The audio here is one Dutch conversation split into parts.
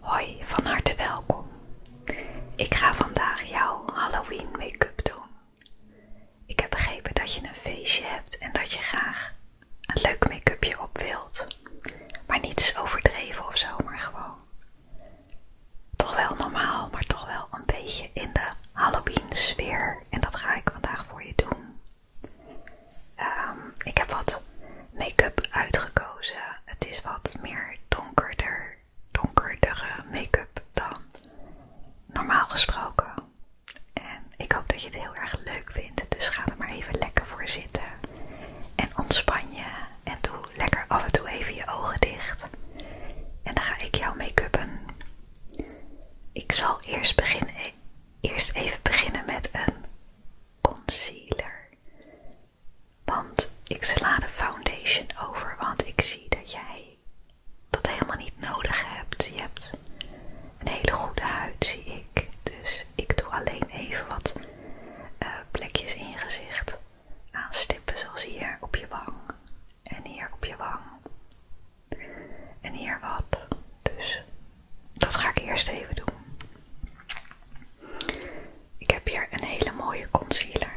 Hoi, van harte welkom. Ik ga vandaag jouw Halloween make-up doen. Ik heb begrepen dat je een feestje hebt en dat je graag een leuk make-upje op wilt. Maar niets overdreven of zo, maar gewoon toch wel normaal, maar toch wel een beetje in de Halloween sfeer. En dat ga ik vandaag voor je doen. Ehm, ik heb wat make-up uitgekozen. Het is wat meer donkerder, donkerdere make-up dan normaal gesproken. En ik hoop dat je het heel erg leuk vindt. Dus ga er maar even lekker voor zitten. En ontspan je. En doe lekker af en toe even je ogen dicht. En dan ga ik jou make upen Ik zal eerst, beginnen, eerst even beginnen met een concealer. Want ik sla de foundation over, want ik zie dat jij dat helemaal niet nodig hebt. Je hebt een hele goede huid, zie ik. Dus ik doe alleen even wat eh, plekjes in je gezicht aanstippen zoals hier op je wang en hier op je wang en hier wat. Dus dat ga ik eerst even doen. Ik heb hier een hele mooie concealer.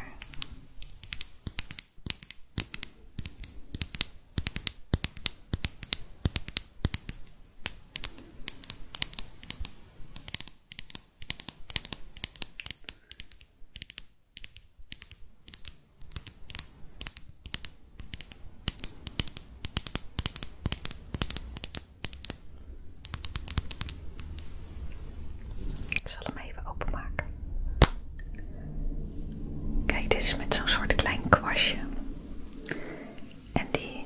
Ik zal hem even openmaken. Kijk, dit is met zo'n soort klein kwastje. En die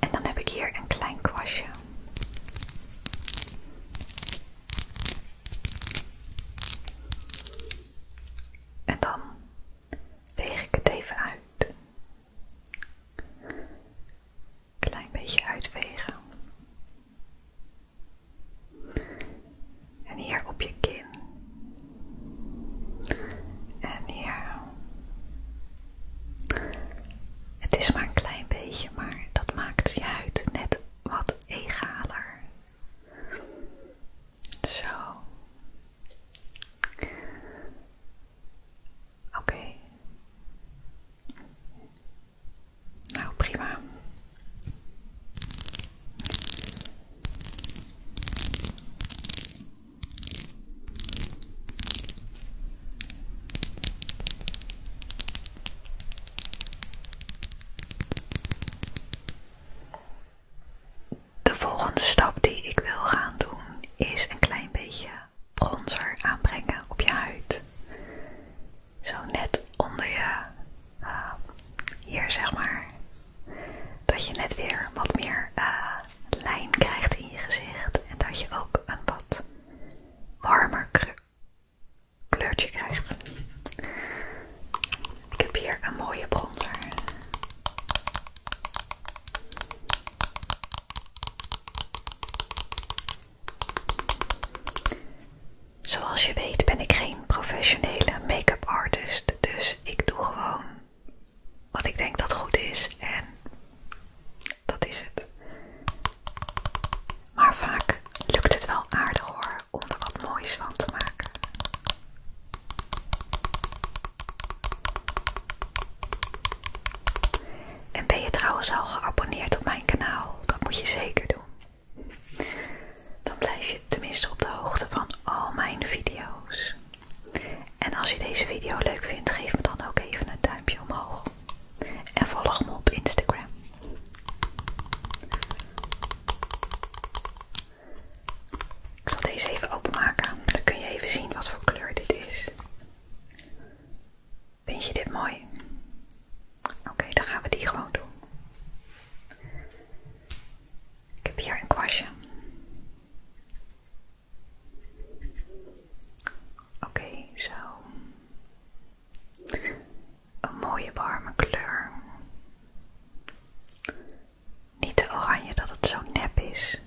En dan heb ik hier een klein kwastje. En dan weeg ik het even uit. Klein beetje uitwegen. En hier op je kin. En hier het is maar een klein beetje, maar dat maakt je huid net wat egaler. Zo. Oké. Nou, prima. De volgende stap die ik wil gaan doen is een klein beetje bronzer aanbrengen op je huid. Zo net onder je, eh, hier zeg maar, dat je net weer wat meer eh, lijn krijgt in je gezicht en dat je ook een wat warmer kleurtje krijgt. Ik heb hier een mooie bronzer. Zoals je weet ben ik geen professionele make-up artist, dus ik doe gewoon wat ik denk dat goed is en dat is het. Maar vaak lukt het wel aardig hoor om er wat moois van te maken. En ben je trouwens al geabonneerd op mijn kanaal? Dat moet je zeker doen. Dan blijf je tenminste op de hoogte van al mijn video's. En als je deze video leuk vindt, geef me dan ook even een duimpje omhoog. En volg me op Instagram. Ik zal deze even openmaken. Dan kun je even zien wat voor kleur dit is. Vind je dit mooi? Oké, dan gaan we die gewoon doen. Ik heb hier een kwastje. Oké, zo. Een mooie warme kleur. Niet te oranje dat het zo nep is.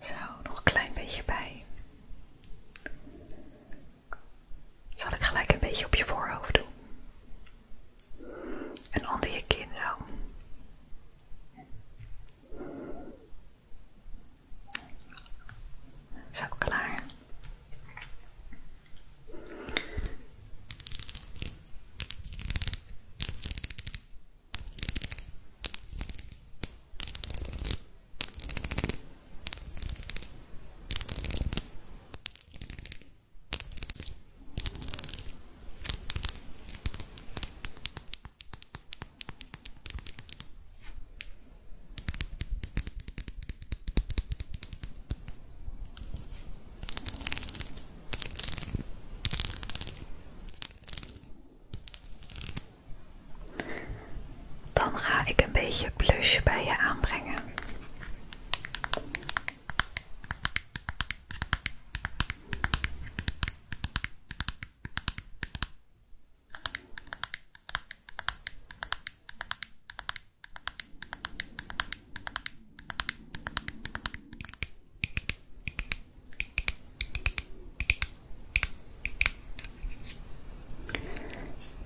Zo, nog een klein beetje bij. Zal ik gelijk een beetje op je voorhoofd doen? En onder je kin zo. Zo klaar. Dan ga ik een beetje blusje bij je aanbrengen.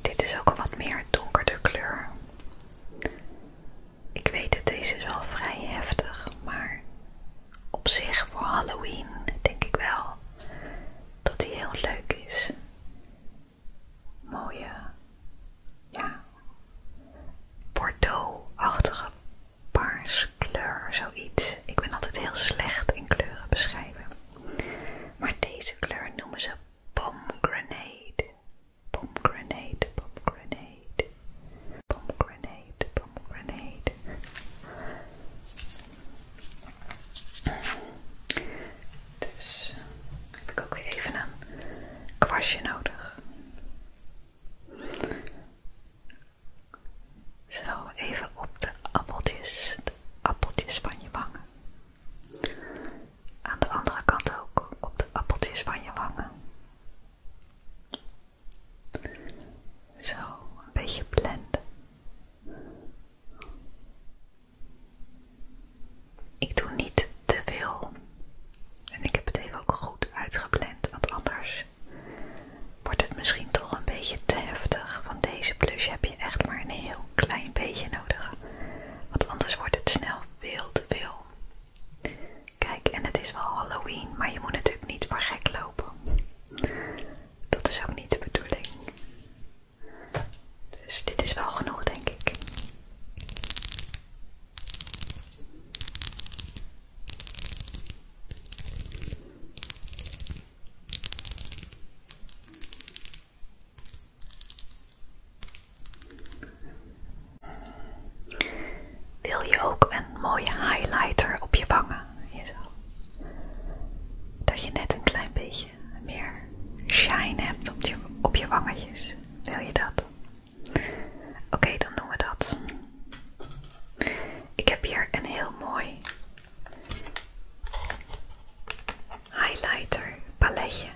Dit is ook een wat meer donkerder kleur. Ik weet dat deze wel vrij heftig, maar op zich voor Halloween denk ik wel dat die heel leuk is. Mooie, ja, bordeaux-achtige paarskleur, zoiets. Ik ben altijd heel slecht in kleuren beschrijven. Maar deze kleur noemen ze pomegranate pomegranate, pomegranate, pomegranate, pomegranate. Dus heb ik ook weer even een kwastje nodig. Zo, even op de appeltjes, de appeltjes van je wangen. Aan de andere kant ook op de appeltjes van je wangen. Zo, een beetje blenden. Ik doe niet te veel. En ik heb het even ook goed uitgeblend, want anders wordt het misschien toch een beetje te heftig. Van deze blush heb je echt maar een heel klein beetje nodig. Want anders wordt het snel veel te veel. Kijk, en het is wel Halloween, maar je moet natuurlijk niet voor gek lopen. Dat is ook niet de bedoeling. Dus dit is wel genoeg, denk ik. Wil je ook een mooie highlighter op je wangen? Dat je net een klein beetje meer shine hebt op je, op wangetjes. Wil je dat? Oké, dan doen we dat. Ik heb hier een heel mooi highlighter paletje.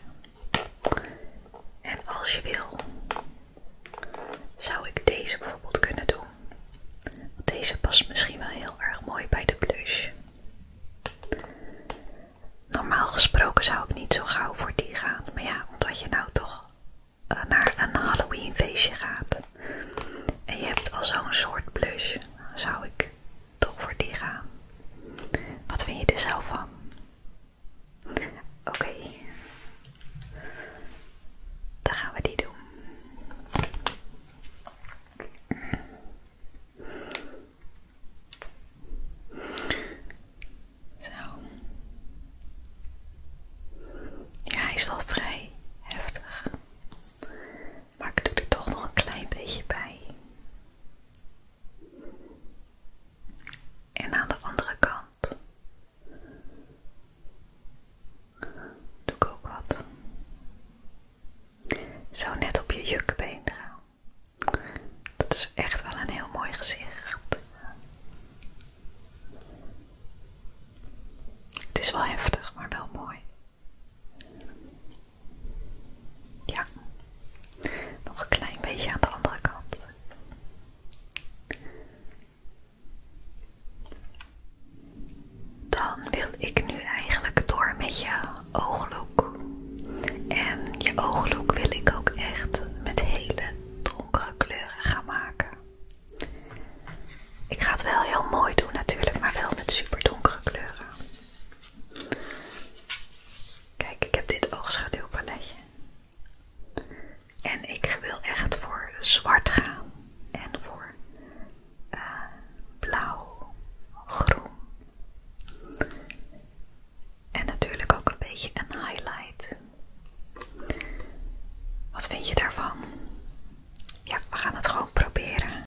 En als je wil, zou ik deze bijvoorbeeld kunnen doen. Want deze past misschien wel heel erg mooi bij de blush. Normaal gesproken zou ik niet zo gauw voor die gaan. Maar ja, omdat je nou toch eh, naar een Halloween feestje gaat. En je hebt al zo'n soort blush. Zou ik toch voor die gaan. Wat vind je er zelf van? Oké, dan gaan we die doen. Zo. Ja, hij is wel vrij heftig. Maar ik doe er toch nog een klein beetje bij. En aan de andere kant doe ik ook wat. Zo net op je jukbeen Dat is echt wel een heel mooi gezicht. Het is wel heftig, maar wel mooi. Ja, nog een klein beetje aan de andere kant. Dan wil ik nu eigenlijk door met je ooglook. En je ooglook wil ik ook echt met hele donkere kleuren gaan maken. Ik ga het wel heel mooi doen natuurlijk, maar wel met super donkere kleuren. Kijk, ik heb dit oogschaduwpaletje. En ik wil echt voor zwart gaan. En voor eh, blauw, groen. En natuurlijk ook een beetje een highlight. Wat vind je daarvan? Ja, we gaan het gewoon proberen.